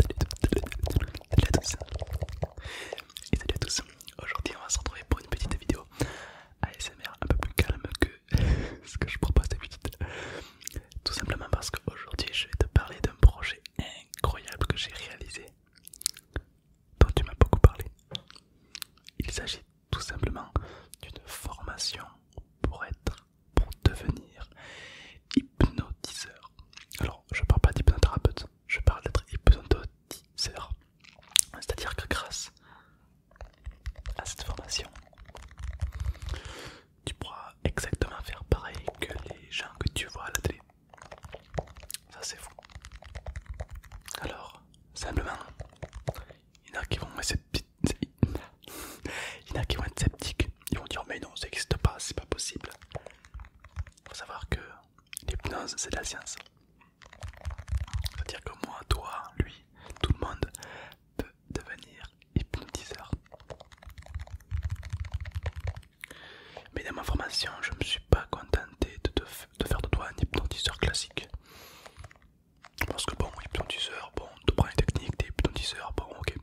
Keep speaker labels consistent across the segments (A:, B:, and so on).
A: Salut à tous Et salut à tous Aujourd'hui on va se retrouver pour une petite vidéo ASMR un peu plus calme que ce que je propose d'habitude Tout simplement parce qu'aujourd'hui je vais te parler d'un projet incroyable que j'ai réalisé dont tu m'as beaucoup parlé Il s'agit tout simplement d'une formation pour être pour devenir hypnotiseur. Alors, je parle pas d'hypnothérapeute, je parle d'être hypnotiseur. C'est-à-dire que grâce à cette formation, tu pourras exactement faire pareil que les gens que tu vois à la télé. Ça c'est fou. Alors, simplement, il y en a qui vont être sceptiques, ils vont dire mais non ça n'existe pas, c'est pas possible. Faut savoir que l'hypnose c'est de la science. C'est-à-dire que moi, toi, lui, tout le monde peut devenir hypnotiseur. Mais dans ma formation, je ne me suis pas contenté de, de faire de toi un hypnotiseur classique. Parce que bon, hypnotiseur, bon, tu prends les technique, t'es hypnotiseur, bon, ok.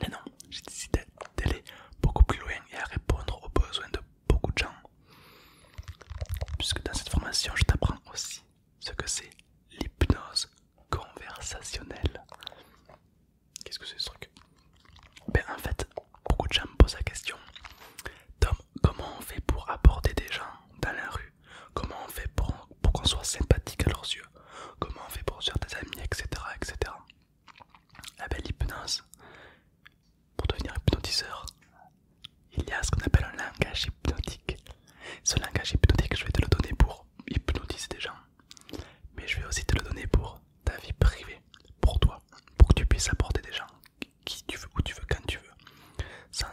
A: Mais non, j'ai décidé d'aller beaucoup plus loin et à répondre aux besoins de beaucoup de gens. Puisque dans cette formation, je t'apprends aussi ce que c'est l'hypnose conversationnelle. Qu'est-ce que c'est ce truc ben, En fait, beaucoup de gens me posent la question Tom, comment on fait pour aborder des gens dans la rue Comment on fait pour, qu'on soit sympathique à leurs yeux Comment on fait pour se faire des amis, etc. etc. La belle l'hypnose, pour devenir hypnotiseur, il y a ce qu'on appelle un langage hypnotique. Ce langage hypnotique, je vais te le donner pour hypnotiser des gens, mais je vais aussi te le donner pour ta vie privée, pour toi, pour que tu puisses apporter des gens qui tu veux, où tu veux, quand tu veux, sans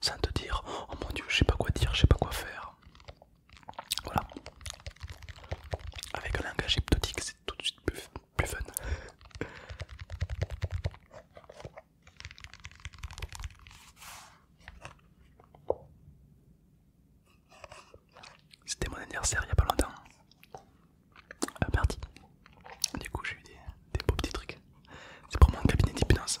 A: sans te dire oh mon dieu je sais pas quoi dire je sais pas quoi faire voilà avec un langage hypnotique c'est tout de suite plus, fun c'était mon anniversaire il y a pas longtemps à ah, parti du coup j'ai eu des, des beaux petits trucs c'est pour mon cabinet d'hypnose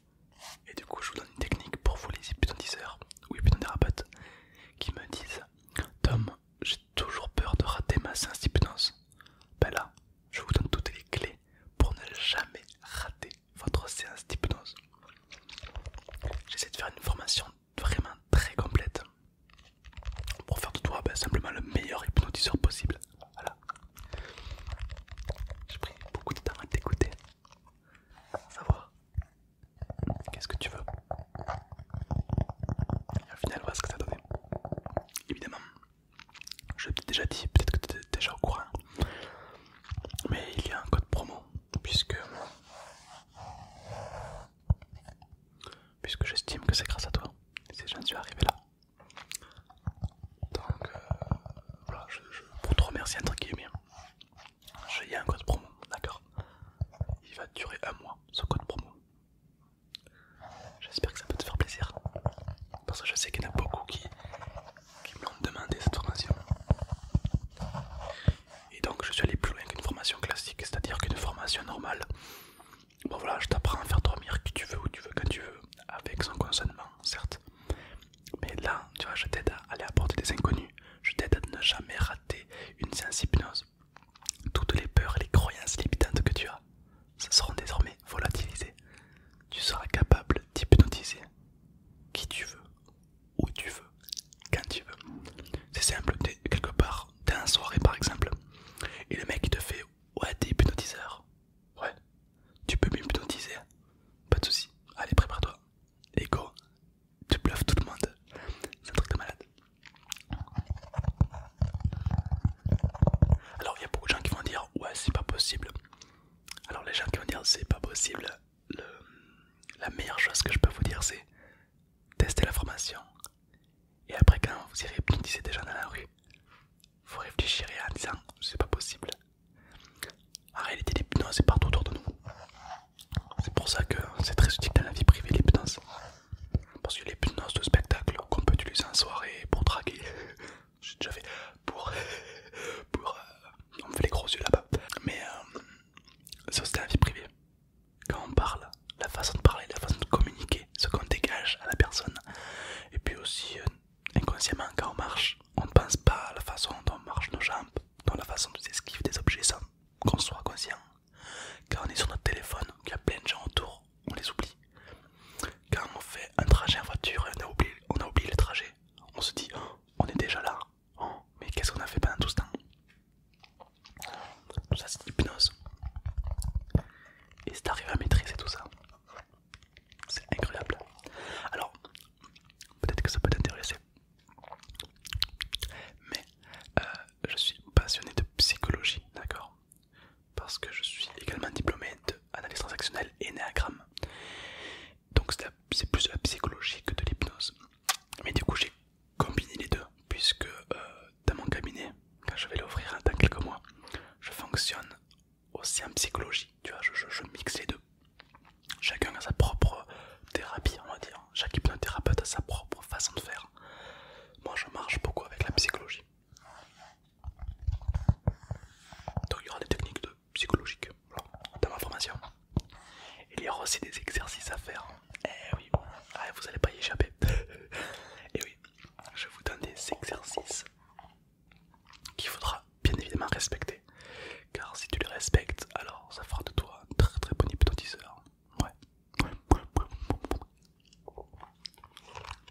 A: Et du coup, je vous donne une technique pour vous les hypnotiseurs ou hypnothérapeutes qui me disent Tom, j'ai toujours peur de rater ma séance d'hypnose. Ben là, je vous donne toutes les clés pour ne jamais rater votre séance d'hypnose. J'essaie de faire une formation vraiment très complète pour faire de toi ben, simplement le meilleur hypnotiseur possible. Voilà. J'ai pris beaucoup de temps à t'écouter. Savoir qu'est-ce que tu veux. Et au final, voilà ce que ça donnait. Évidemment, je t'ai déjà dit, peut-être que tu es déjà au courant. Mais il y a un code promo, puisque, puisque j'estime que c'est grâce à toi. Si j'en suis arrivé là, donc euh, voilà, je, pour te remercier entre guillemets, hein. j'ai un code promo, d'accord Il va durer un mois ce code promo. J'espère que ça peut te faire plaisir. Parce que je sais qu'il y en a beaucoup qui, qui demandé cette formation. Et donc je suis allé plus loin qu'une formation classique, c'est-à-dire qu'une formation normale. Bon voilà, je t'apprends à faire dormir qui tu veux, où tu veux, quand tu veux, avec son consentement, certes. Mais là, tu vois, je t'aide à aller à apporter des inconnus. Je t'aide à ne jamais rater une séance hypnose. Toutes les peurs et les croyances limitantes que tu as ça seront désormais volatilisées. Tu seras capable d'hypnotiser qui tu veux, où tu veux, quand tu veux. C'est simple, quelque part, t'es en soirée par exemple, et le mec te fait Ouais, t'es hypnotiseur. Ouais, tu peux m'hypnotiser, pas de soucis. Allez, prépare-toi. Et tu bluffes tout le monde. C'est un truc de malade. Alors, il y a beaucoup de gens qui vont dire Ouais, c'est pas possible. Alors, les gens qui vont dire C'est pas possible, la meilleure chose que je peux vous dire, c'est tester la formation. Et après, quand vous irez hypnotiser des gens dans la rue, vous réfléchirez en disant c'est pas possible. En réalité, l'hypnose est partout autour de nous. C'est pour ça que c'est très utile dans la vie privée l'hypnose. Parce que l'hypnose de spectacle qu'on peut utiliser en soirée pour draguer, j'ai déjà fait pour. pour euh, on me fait les gros yeux là-bas. Mais euh, ça c'est la vie privée. Quand on parle, la façon de parler, la façon de communiquer, ce qu'on dégage à la personne. Et puis aussi euh, inconsciemment quand on marche, on ne pense pas à la façon dont on marche nos jambes, dans la façon dont on esquive des objets sans qu'on soit conscient. Quand on est sur notre téléphone, qu'il y a plein de gens autour, on les oublie. Quand on fait un trajet en voiture et on a oublié, on a le trajet, on se dit oh, on est déjà là, oh, mais qu'est-ce qu'on a fait pendant tout ce temps Tout ça c'est l'hypnose. Et c'est arrivé à maîtriser tout ça. C'est incroyable. Alors, peut-être que ça peut t'intéresser. Mais euh, je suis passionné de psychologie, d'accord Parce que je suis également diplômé d'analyse transactionnelle et néagramme. Donc c'est plus de la psychologie que de l'hypnose. Mais du coup j'ai combiné les deux, puisque euh, dans mon cabinet, quand je vais l'offrir dans quelques mois, je fonctionne aussi en psychologie, tu vois, je, mixe les deux. Chacun a sa propre thérapie, on va dire. Chaque hypnothérapeute a sa propre façon de faire. Moi, je marche beaucoup avec la psychologie. Donc, il y aura des techniques psychologiques dans ma formation. Il y aura aussi des exercices à faire. Eh oui, ah, vous allez pas y échapper. Et eh oui, je vous donne des exercices qu'il faudra bien évidemment respecter. Car si tu les respectes, alors ça fera de toi un très très bon hypnotiseur. Ouais.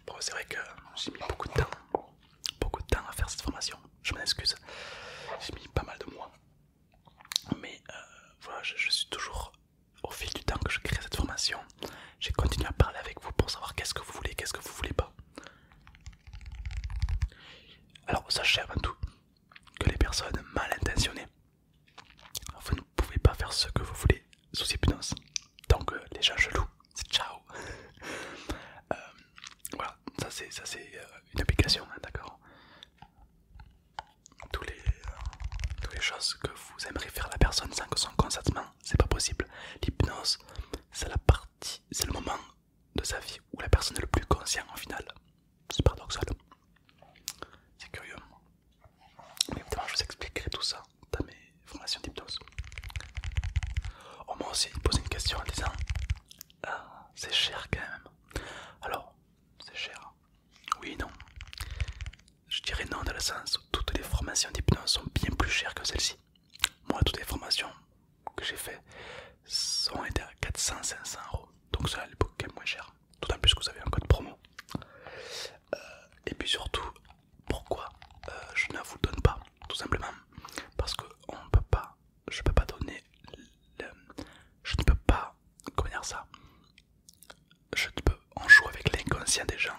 A: Bon, c'est vrai que j'ai mis beaucoup de temps, beaucoup de temps à faire cette formation. Je m'en excuse. J'ai mis pas mal de mois. Mais euh, voilà, je suis toujours au fil du temps que je crée cette formation. J'ai continué à parler avec vous pour savoir qu'est-ce que vous voulez, qu'est-ce que vous voulez pas. Alors sachez avant tout que les personnes mal intentionnées, vous ne pouvez pas faire ce que vous voulez sous hypnose. Donc euh, les gens gelous, ciao. Euh, voilà, ça c'est euh, une application, hein, d'accord Tous les, toutes les choses que vous aimeriez faire à la personne sans que son consentement c'est pas possible. L'hypnose, c'est la partie, c'est le moment de sa vie où la personne est le plus consciente en final. C'est paradoxal. C'est curieux. Mais évidemment, je vous expliquerai tout ça dans mes formations d'hypnose. On oh, m'a aussi posé une question en disant ah, c'est cher quand même. Alors, c'est cher. Oui, non. Je dirais non dans le sens où toutes les formations d'hypnose sont bien plus chères que celles ci Moi, toutes les formations que j'ai faites sont été à 400-500 euros. Donc cela est beaucoup moins cher. tout en plus que vous avez un code promo. Euh, et puis surtout, pourquoi euh, je ne vous donne pas Tout simplement parce que on peut pas, je peux pas donner, je ne peux pas, comment ça je peux, en jouer avec l'inconscient des gens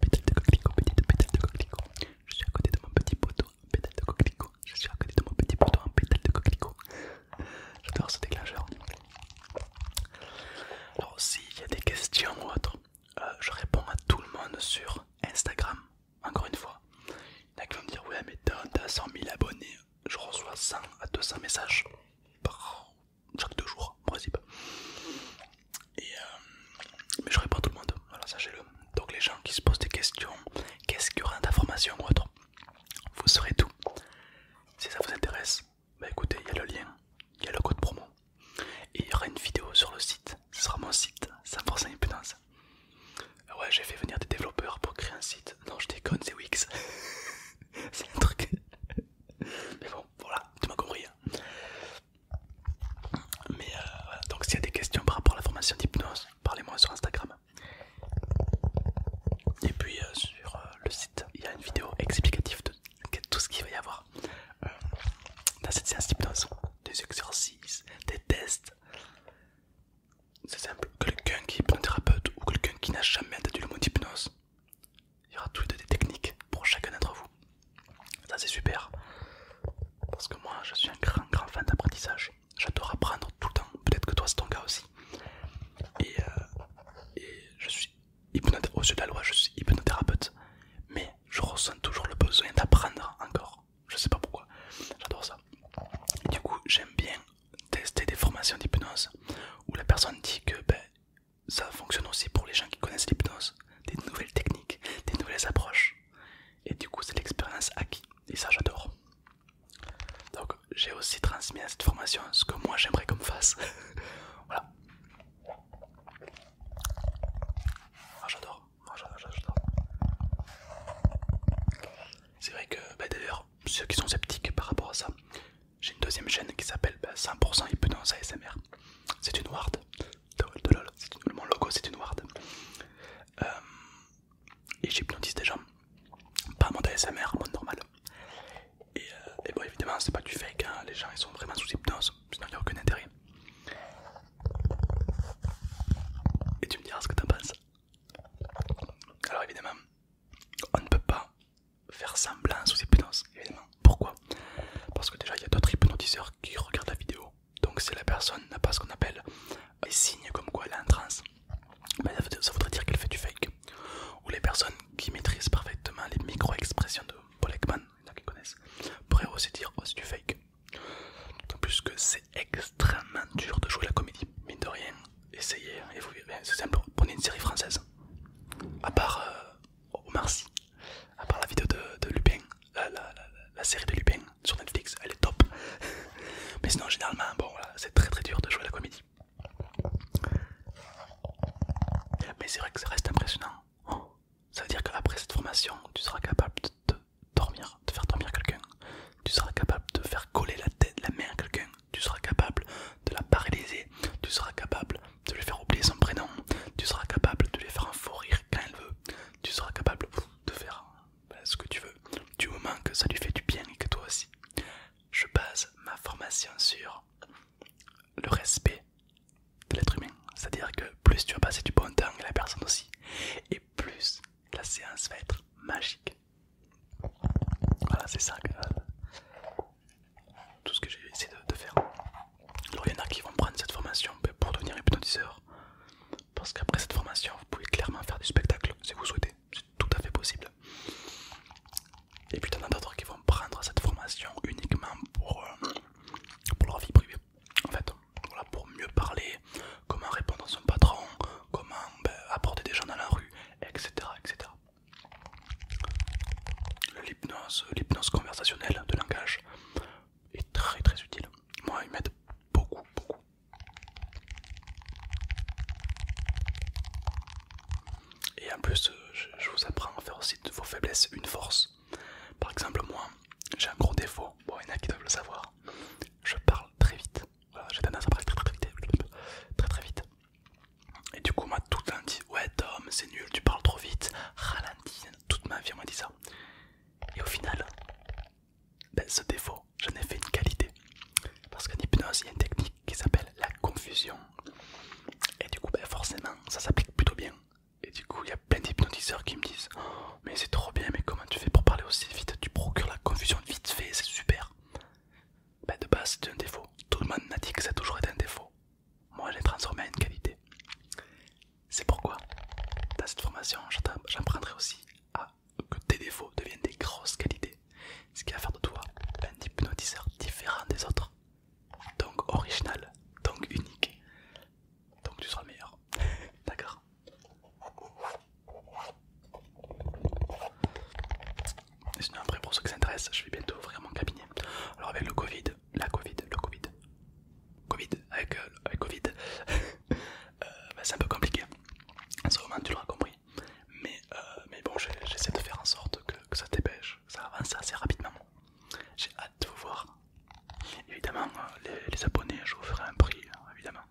A: Pétale de coquelicot, petite pétale de coquelicot. Je suis à côté de mon petit poteau, pétale de coquelicot. Je suis à côté de mon petit poteau, en pétale de coquelicot. J'adore ce déclencheur. Alors, s'il y a des questions ou autres, euh, je réponds à tout le monde sur Instagram. Encore une fois, il y en a qui vont me dire Ouais, mais t'as 100 000 abonnés. Je reçois 100 à 200 messages par chaque deux jours possible. Et, euh, mais je réponds à tout le monde, alors sachez-le. Donc les gens qui se posent des questions, qu'est-ce qu'il y aura d'information ou autre, vous saurez tout. Si ça vous intéresse, bah écoutez, il y a le lien, il y a le code promo. Et il y aura une vidéo sur le site, ce sera mon site, sans force impudence. Ouais, j'ai fait venir des développeurs pour créer un site. Non, je déconne, c'est Wix. c'est un truc. Mais bon, voilà, tu m'as compris. Hein. Mais euh, voilà. donc s'il y a des questions par rapport à la formation d'hypnose, parlez-moi sur Instagram. Et puis euh, sur euh, le site, il y a une vidéo explicative de tout ce qu'il va y avoir dans cette séance d'hypnose. Des exercices, des tests. C'est simple, quelqu'un qui est thérapeute ou quelqu'un qui n'a jamais entendu le mot d'hypnose il y aura toutes des techniques pour chacun d'entre vous. Ça c'est super. Parce que moi je suis un grand grand fan d'apprentissage. J'adore apprendre tout le temps. Peut-être que toi c'est ton cas aussi. Et, euh, je suis au de la loi, je suis hypnothérapeute. Mais je ressens toujours le besoin d'apprendre encore. Je sais pas pourquoi. J'adore ça. du coup j'aime bien tester des formations d'hypnose où la personne dit que ben, ça fonctionne aussi pour les gens qui connaissent l'hypnose, des nouvelles techniques, des nouvelles approches. Et du coup, c'est l'expérience acquise. Et ça, j'adore. Donc, j'ai aussi transmis à cette formation ce que moi j'aimerais qu'on fasse. voilà. Ah, ah, j'adore. j'adore. C'est vrai que, bah, d'ailleurs, ceux qui sont sceptiques par rapport à ça, j'ai une deuxième chaîne qui s'appelle 100% bah, hypnose ASMR. C'est une ward. mon logo, c'est une ward. Euh, et j'hypnotise des gens. Pas mon ASMR, mon normal. Et, euh, et bon, évidemment, c'est pas du fake. Hein. Les gens ils sont vraiment sous hypnose. Sinon, il n'y a aucun intérêt. Et tu me diras ce que t'en penses. Alors, évidemment, on ne peut pas faire semblant sous hypnose, évidemment. Pourquoi Parce que déjà il y a d'autres hypnotiseurs qui regardent la vidéo. Donc si la personne n'a pas ce qu'on appelle euh, les signes comme quoi elle est en transe, ça voudrait dire qu'elle fait du fake. Ou les personnes qui maîtrisent parfaitement les micro-expressions de Paul Ekman, il y en a qui connaissent, pourraient aussi dire que oh, c'est du fake. D'autant plus que c'est extrêmement dur de jouer la comédie, mine de rien. Essayez, hein, et vous c'est simple, prenez une série française. À part euh, oh, merci. à part la vidéo de, Lupin, la, série de Lupin sur Netflix, elle est top. Mais sinon, généralement, bon, c'est très très dur de jouer la comédie. Mais c'est vrai que ça reste impressionnant. Oh, ça veut dire après cette formation, tu seras capable de dormir, de faire dormir quelqu'un. Tu seras capable de faire coller la tête, la main à quelqu'un. Tu seras capable de la paralyser. Tu seras capable de lui faire oublier son prénom, tu seras capable de lui faire un faux rire quand elle veut, tu seras capable de faire ce que tu veux, du moment que ça lui fait du bien et que toi aussi. Je base ma formation sur le respect de l'être humain, c'est-à-dire que plus tu vas passer du bon temps avec la personne aussi, et plus la séance va être magique. Voilà, c'est ça que tout ce que j'ai essayé de, faire. Alors il y en a qui vont prendre cette formation ben, pour devenir hypnotiseur, parce qu'après cette formation, vous pouvez clairement faire du spectacle si vous souhaitez, c'est tout à fait possible. Et puis il y en a d'autres qui vont prendre cette formation uniquement pour, euh, pour leur vie privée, en fait, pour mieux parler, comment répondre à son patron, comment ben, apporter des gens dans la rue, etc. etc l'hypnose, conversationnelle de langage est très très utile. Moi, il m'aide beaucoup, beaucoup. Et en plus, je, vous apprends à faire aussi de vos faiblesses une force. Par exemple, moi, j'ai un gros défaut. Bon, il y en a qui doivent le savoir. Je parle très vite. j'ai tendance à parler très vite. Très très vite. Et du coup, m'a tout le temps dit Ouais, Tom, c'est nul, tu parles trop vite, ralentis. Toute ma vie, on m'a dit ça. Et au final, ben, ce défaut, j'en ai fait une qualité. Parce qu'en hypnose, il y a une technique qui s'appelle la confusion. Et du coup, ben, forcément, ça s'applique plutôt bien. Et du coup, il y a plein d'hypnotiseurs qui me disent oh, Mais c'est trop bien, mais comment tu fais pour parler aussi vite Tu procures la confusion vite fait, c'est super. Ben, de base, c'est un défaut. Tout le monde m'a dit que ça a toujours été un défaut moi je transformé en une qualité. C'est pourquoi dans cette formation j'apprendrai aussi à que tes défauts deviennent des grosses qualités, ce qui va faire de toi un hypnotiseur différent des autres, donc original, donc unique, donc tu seras le meilleur. D'accord et sinon après pour ceux qui s'intéressent, je vais bientôt ouvrir mon cabinet. Alors avec le Covid, la Covid, le Covid, Covid, avec, euh, Covid, euh, bah, c'est un peu compliqué, en ce moment tu l'auras compris, mais, euh, mais bon j'essaie de faire en sorte que, ça dépêche, ça avance assez rapidement, j'ai hâte de vous voir, évidemment les, les abonnés je vous ferai un prix, évidemment,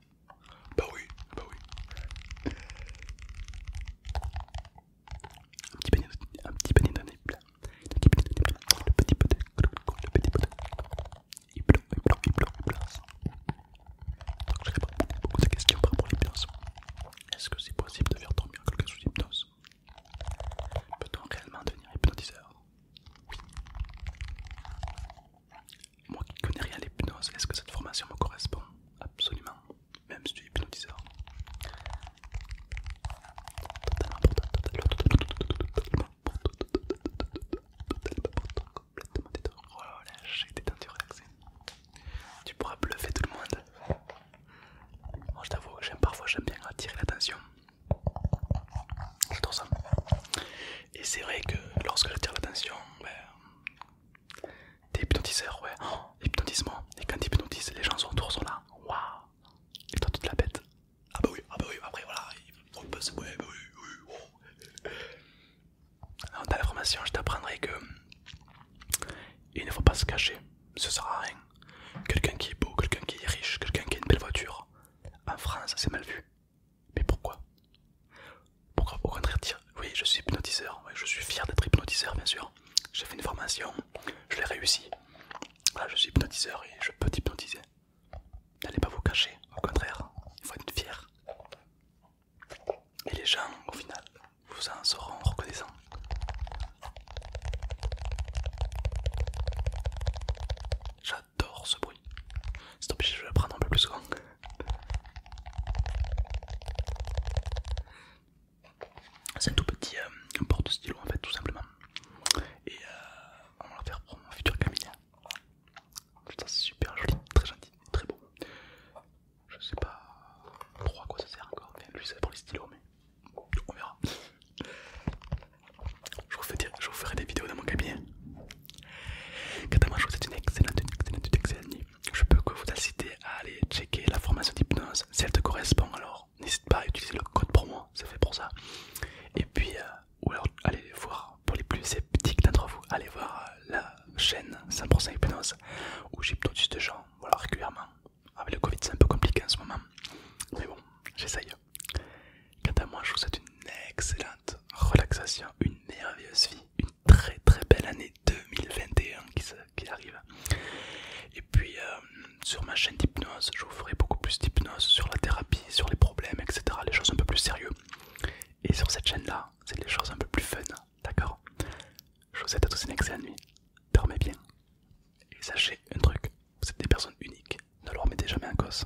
A: bah oui, bah oui. Un petit panier de, un petit nez plein. Le petit panier Le petit panier Le petit panier de nez plein. Il pleut, il pleut, il pleut, il pleut. Donc je réponds à beaucoup de questions par rapport à l'hypnose. Est-ce que c'est possible de faire dormir quelqu'un sous hypnose Peut-on réellement devenir hypnotiseur Oui. Moi qui connais rien à l'hypnose, est-ce que cette formation me correspond Absolument même si tu es hypnotiseur. Totalement important, complètement détendu, relaxé. Tu pourras bluffer tout le monde. Moi je t'avoue, j'aime parfois, j'aime bien attirer l'attention. J'adore ça. Et c'est vrai que lorsque j'attire l'attention, ouais, ben, t'es hypnotiseur, ouais. Oh, Et quand t'hypnotises, les gens autour sont là waouh! Et toi, toute la bête. Ah bah oui, ah bah oui, après voilà, je passe, eh bah oui, oui, oui. Dans la formation, je t'apprendrai que il ne faut pas se cacher, ce sera rien. Quelqu'un qui est beau, quelqu'un qui est riche, quelqu'un qui a une belle voiture, en France, c'est mal vu. Mais pourquoi? Pourquoi au contraire dire oui je suis hypnotiseur, je suis fier d'être hypnotiseur bien sûr, j'ai fait une formation, je l'ai réussi. je suis hypnotiseur et je peux t'hypnotiser. N'allez pas vous cacher, au contraire, il faut être fier. Et les gens, au final, vous en seront reconnaissants. J'adore ce bruit. C'est obligé, je vais le prendre un peu plus souvent. C'est un tout petit euh, porte-stylo en fait, tout simplement. Et euh, on va le faire pour mon futur cabinet. c'est super joli, très gentil, très beau. Je sais pas trop à quoi ça sert encore, lui c'est pour les stylos, mais on verra. Je vous, ferai des vidéos dans mon cabinet. vous c'est une excellente, une excellente, une excellente Je peux que vous la citer allez checker la formation d'hypnose si elle te correspond alors n'hésite pas à utiliser le code pour moi c'est fait pour ça et puis euh, ou alors allez voir pour les plus sceptiques d'entre vous allez voir euh, la chaîne 100% hypnose où j'hypnotise des gens voilà régulièrement avec le covid c'est un peu compliqué en ce moment mais bon j'essaye quant à moi je vous souhaite une excellente relaxation une merveilleuse vie une très très belle année 2021 qui se qui arrive. Et puis euh, sur ma chaîne d'hypnose, je vous ferai beaucoup plus d'hypnose sur la thérapie, sur les problèmes, etc. Les choses un peu plus sérieuses. Et sur cette chaîne-là, c'est les choses un peu plus fun, d'accord Je vous souhaite à tous une excellente nuit. Dormez bien. Et sachez un truc, vous êtes des personnes uniques. Ne leur mettez jamais un cause.